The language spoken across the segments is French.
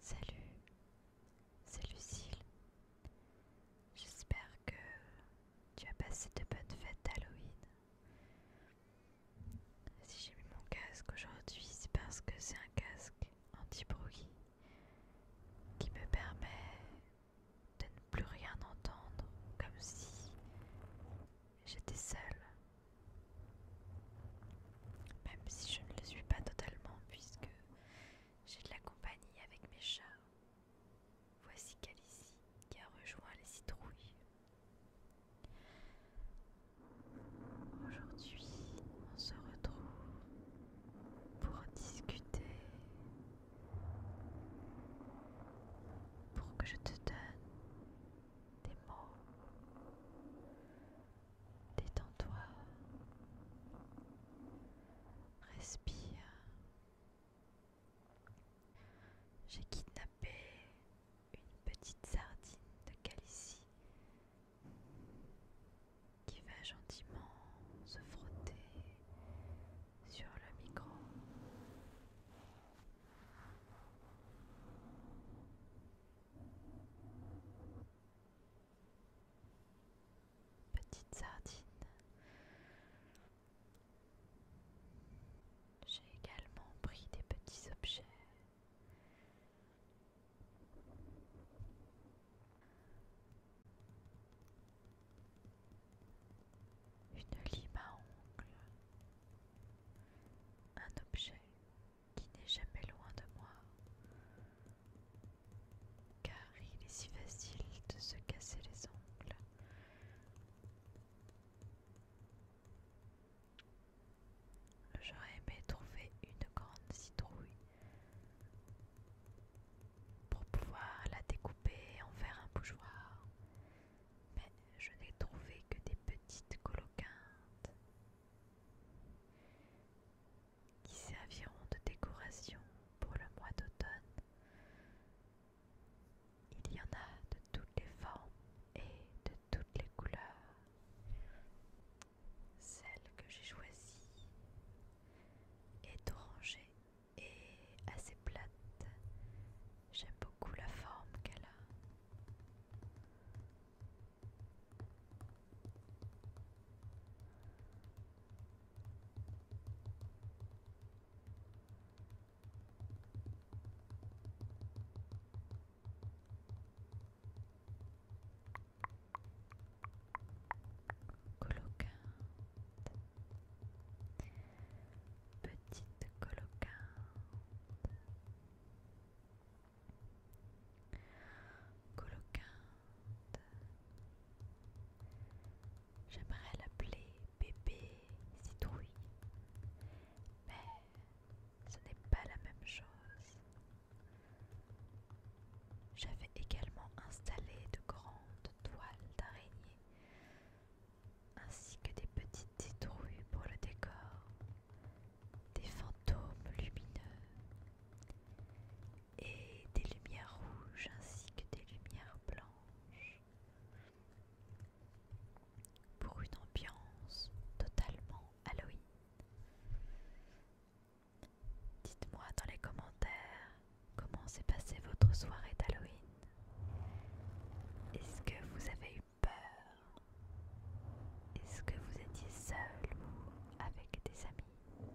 salut, c'est J'espère que tu as passé de bonnes fêtes d'Halloween. Si j'ai mis mon casque aujourd'hui, c'est parce que c'est un casque anti-bruit qui me permet de ne plus rien entendre, comme si j'étais seule. Même si je ne le suis pas totalement, puisque j'ai de la compagnie avec mes chats. Voici Calicie qui a rejoint les citrouilles. Aujourd'hui, on se retrouve pour discuter, pour que je te donne des mots. Détends-toi. Respire. J'ai kidnappé une petite sardine de calicie qui va gentiment se frotter sur le micro. Petite sardine. J'ai également pris des petits objets une lime à ongles. Un objet qui n'est jamais loin de moi. Car il est si facile de se casser les ongles. J'aurais aimé trouver une grande citrouille pour pouvoir la découper et en faire un bougeoir, mais je n'ai trouvé que des petites coloquintes qui serviront de décoration pour le mois d'automne. Il y en a de toutes les formes et de toutes toutes les couleurs. Celle que j'ai choisie est orangée et assez plate. J'aime beaucoup la forme qu'elle a. Colocante. Petite colocante. Colocante. J'aimerais l'appeler bébé citrouille ce n'est pas la même chose. J'avais également installé de grandes toiles d'araignées ainsi que des petites citrouilles pour le décor, des fantômes lumineux et des lumières rouges ainsi que des lumières blanches pour une ambiance totalement Halloween. Dites-moi dans les commentaires comment s'est passée votre soirée d'Halloween. Est-ce que vous avez eu peur Est-ce que vous étiez seul ou avec des amis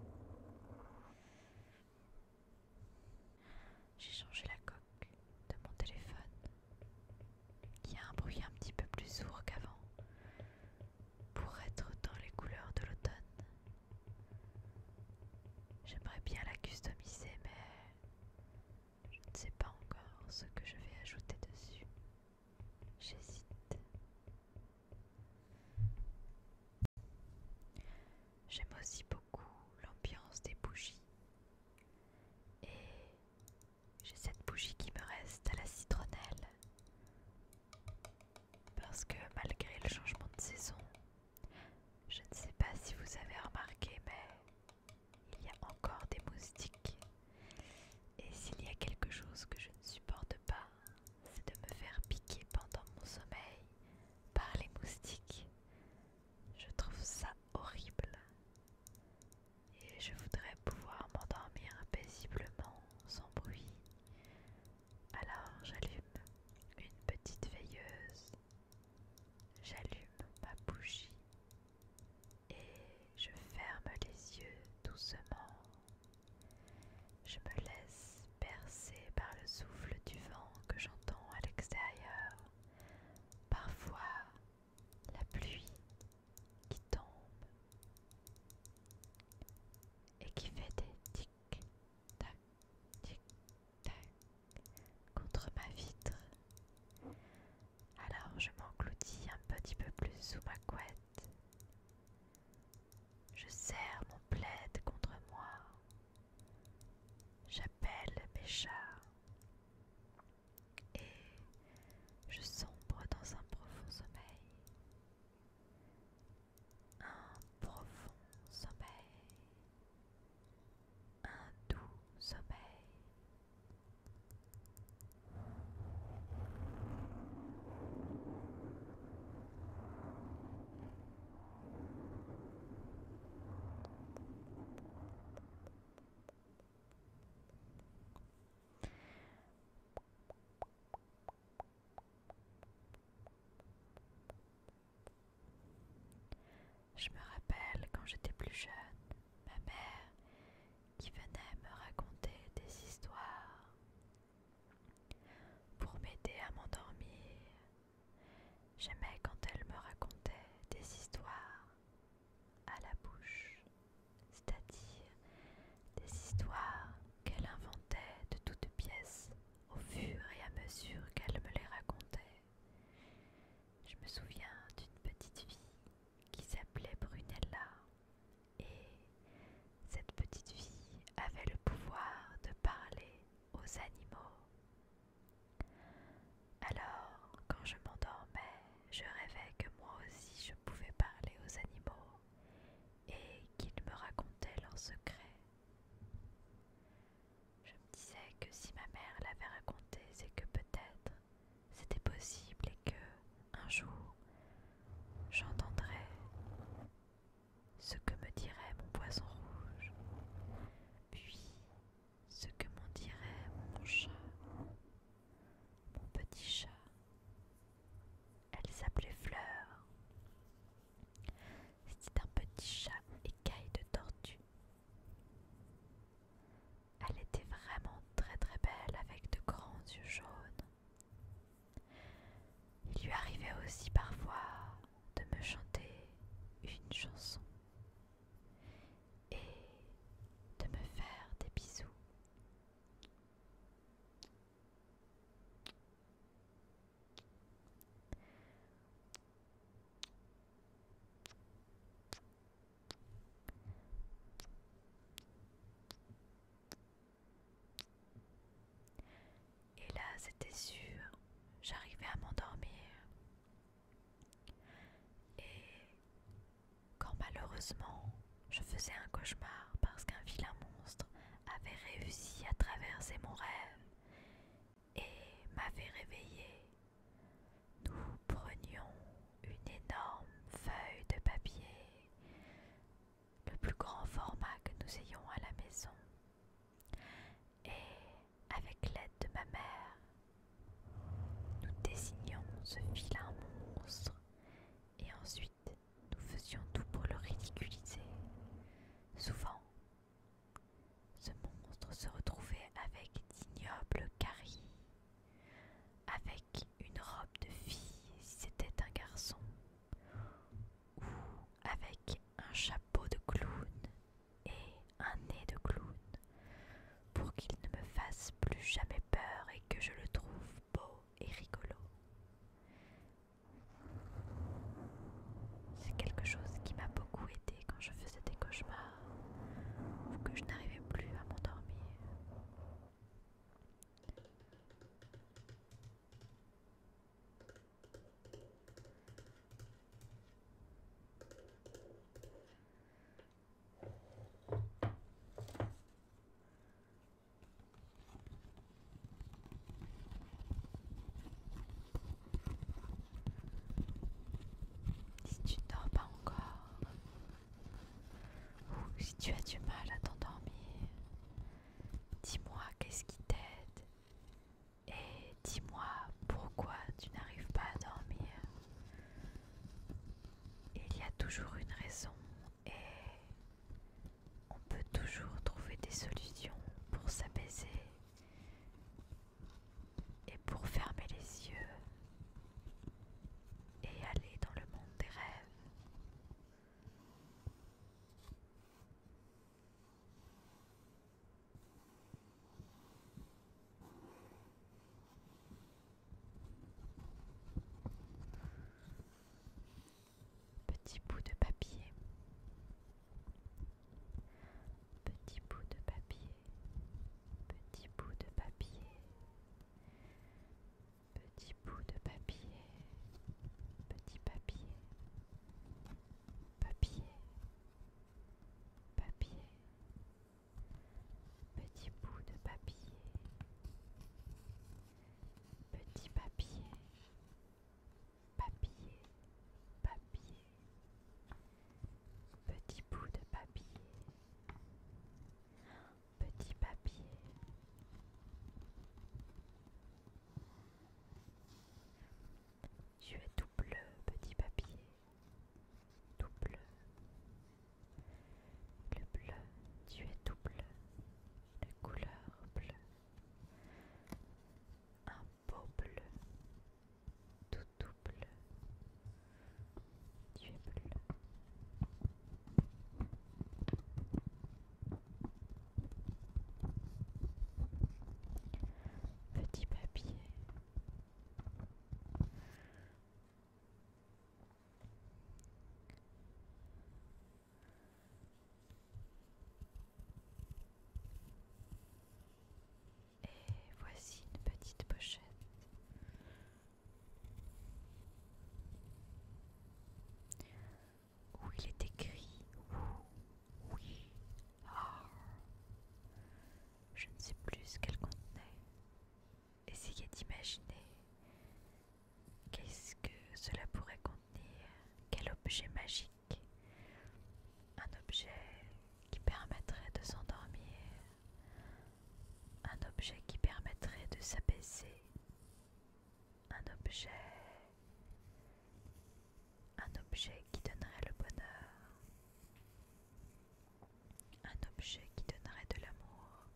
J'ai changé la coque de mon téléphone qui a un bruit un petit peu plus sourd qu'avant pour être dans les couleurs de l'automne. J'aimerais bien la customiser, mais je ne sais pas encore ce que je vais ajouter dessus. J'hésite. J'aime aussi beaucoup l'ambiance des bougies et j'ai cette bougie qui me reste à la citronnelle. Parce que malgré le changement de saison, je ne sais pas si vous avez remarqué, mais il y a encore des moustiques. Et s'il y a quelque chose que je ne supporte pas, c'est de me faire piquer pendant mon sommeil par les moustiques. Je trouve ça horrible et je voudrais pouvoir m'endormir paisiblement sans bruit. Alors j'allume une petite veilleuse, j'allume ma bougie et je ferme les yeux doucement. Je me laisse bercer par le souffle du vent que j'entends à l'extérieur, parfois la pluie qui tombe et qui fait des tic-tac, tic-tac contre ma vitre. Alors je m'engloutis un petit peu plus sous ma couette. Je serre mon plaid contre moi. J'appelle mes chats et je sombre dans un profond sommeil. Un profond sommeil. Un doux sommeil. Je me rappelle quand j'étais plus jeune, ma mère qui venait me raconter des histoires pour m'aider à m'endormir. J'aimais quand elle me racontait des histoires à la bouche, c'est-à-dire des histoires qu'elle inventait de toutes pièces au fur et à mesure qu'elle me les racontait. Je me souviens d'une petite fille qui s'appelait Brunella et cette petite fille avait le pouvoir de parler aux animaux. Alors, quand je m'endormais, je rêvais que moi aussi je pouvais parler aux animaux et qu'ils me racontaient leurs secrets. Je me disais que si ma mère l'avait raconté, c'est que peut-être c'était possible et que un jour j'entendrais ce que me dirait mon poisson rouge, puis ce que m'en dirait mon chat, mon petit chat. Elle s'appelait Fleur. C'était un petit chat écaille de tortue. Elle était vraiment très très belle avec de grands yeux jaunes. Il lui arrivait aussi parfois de me chanter une chanson et de me faire des bisous. Et là, c'était sûr, j'arrivais à m'endormir. Et quand malheureusement je faisais un cauchemar parce qu'un vilain monstre avait réussi à traverser mon rêve et m'avait réveillé, nous prenions une énorme feuille de papier, le plus grand format que nous ayons à la maison, et avec l'aide de ma mère, nous désignions ce vilain monstre et ensuite nous faisions tout pour le ridiculiser. Souvent, ce monstre se retrouvait avec d'ignobles caries, avec une robe de fille si c'était un garçon, ou avec un chapeau de clown et un nez de clown, pour qu'il ne me fasse plus jamais peur et que je le trouve beau et rigolo. C'est quelque chose qui m'a beaucoup aidé quand je faisais des cauchemars ou que je n'arrivais plus à m'endormir. Si tu ne dors pas encore, ou si tu as du mal à t'endormir, dis-moi qu'est-ce qui t'aide et dis-moi pourquoi tu n'arrives pas à dormir. Il y a toujours une raison et on peut toujours trouver des solutions pour s'apaiser et pour fermer les yeux et aller dans le monde des rêves. Petit bout de papier. Petit bout de papier. Petit bout de papier. Petit bout de papier. Petit papier. Papier. Papier. Petit bout de papier. Petit papier. Papier. Papier. Petit bout de papier. Petit papier. Tu es tout bleu, petit papier tout bleu. Le bleu, tu es tout bleu, La couleur bleu. Un beau bleu, tout tout bleu. Tu es bleu. Petit papier. Et voici une petite pochette. Où il est écrit Oui ». Je ne sais plus ce qu'elle contenait. Essayez d'imaginer qu'est-ce que cela pourrait contenir, quel objet magique, un objet qui permettrait de s'endormir, un objet qui permettrait de s'abaisser, un objet, un objet qui donnerait le bonheur. Un objet qui donnerait de l'amour.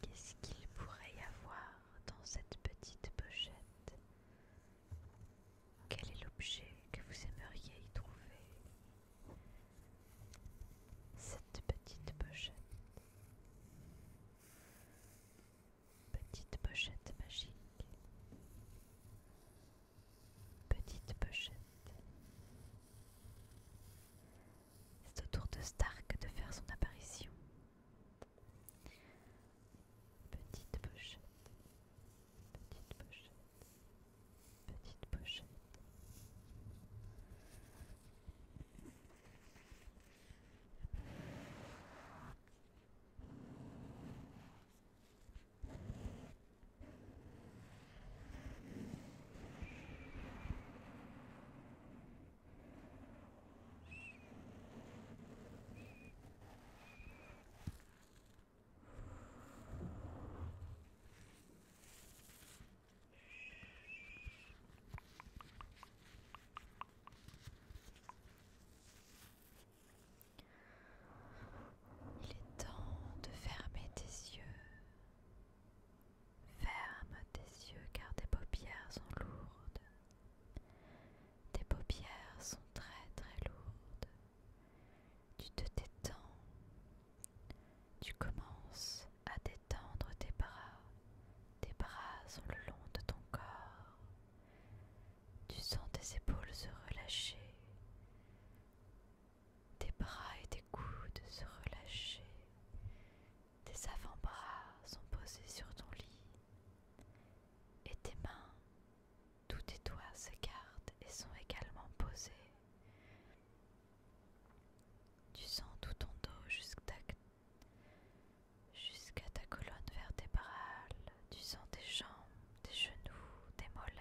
Qu'est-ce qu'il pourrait y avoir dans cette petite pochette Quel est l'objet que vous aimeriez y trouver Cette petite pochette. Petite pochette magique. Petite pochette. C'est au tour de Stark de faire son apparition. Petite pochette, petite pochette, petite pochette. Il est temps de fermer tes yeux Ferme tes yeux car tes paupières sont lourdes. Tes paupières sont très très lourdes. Tu te détends. Tu commences à détendre tes bras. Tes bras sont le long de ton corps. Tu sens tes épaules se relâcher. Tes bras et tes coudes se relâchent, Tes avant-bras sont posés sur ton lit. Et tes mains, tous tes doigts s'écartent et sont également posés. Tu sens tout ton dos jusqu'à ta colonne vertébrale. Tu sens tes jambes, tes genoux, tes mollets.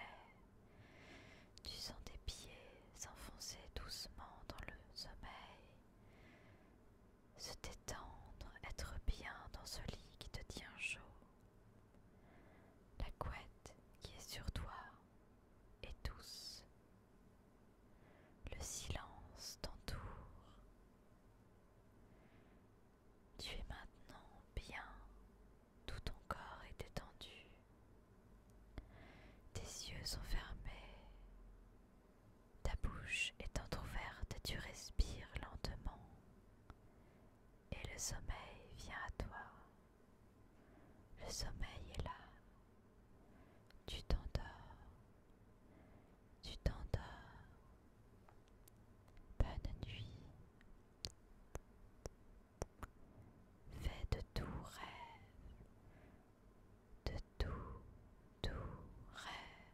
Tu sens tes pieds s'enfoncer doucement dans le sommeil, se détendre, être bien dans ce lit qui te tient chaud, la couette qui est sur toi est douce, le silence t'entoure. Tu es maintenant bien, tout ton corps est détendu. Tes yeux sont fermés, ta bouche est entr'ouverte, tu respires lentement et le sommeil vient à toi. Le sommeil est là. Tu t'endors. Tu t'endors. Bonne nuit. Fais de tout rêve, de tout, tout rêve.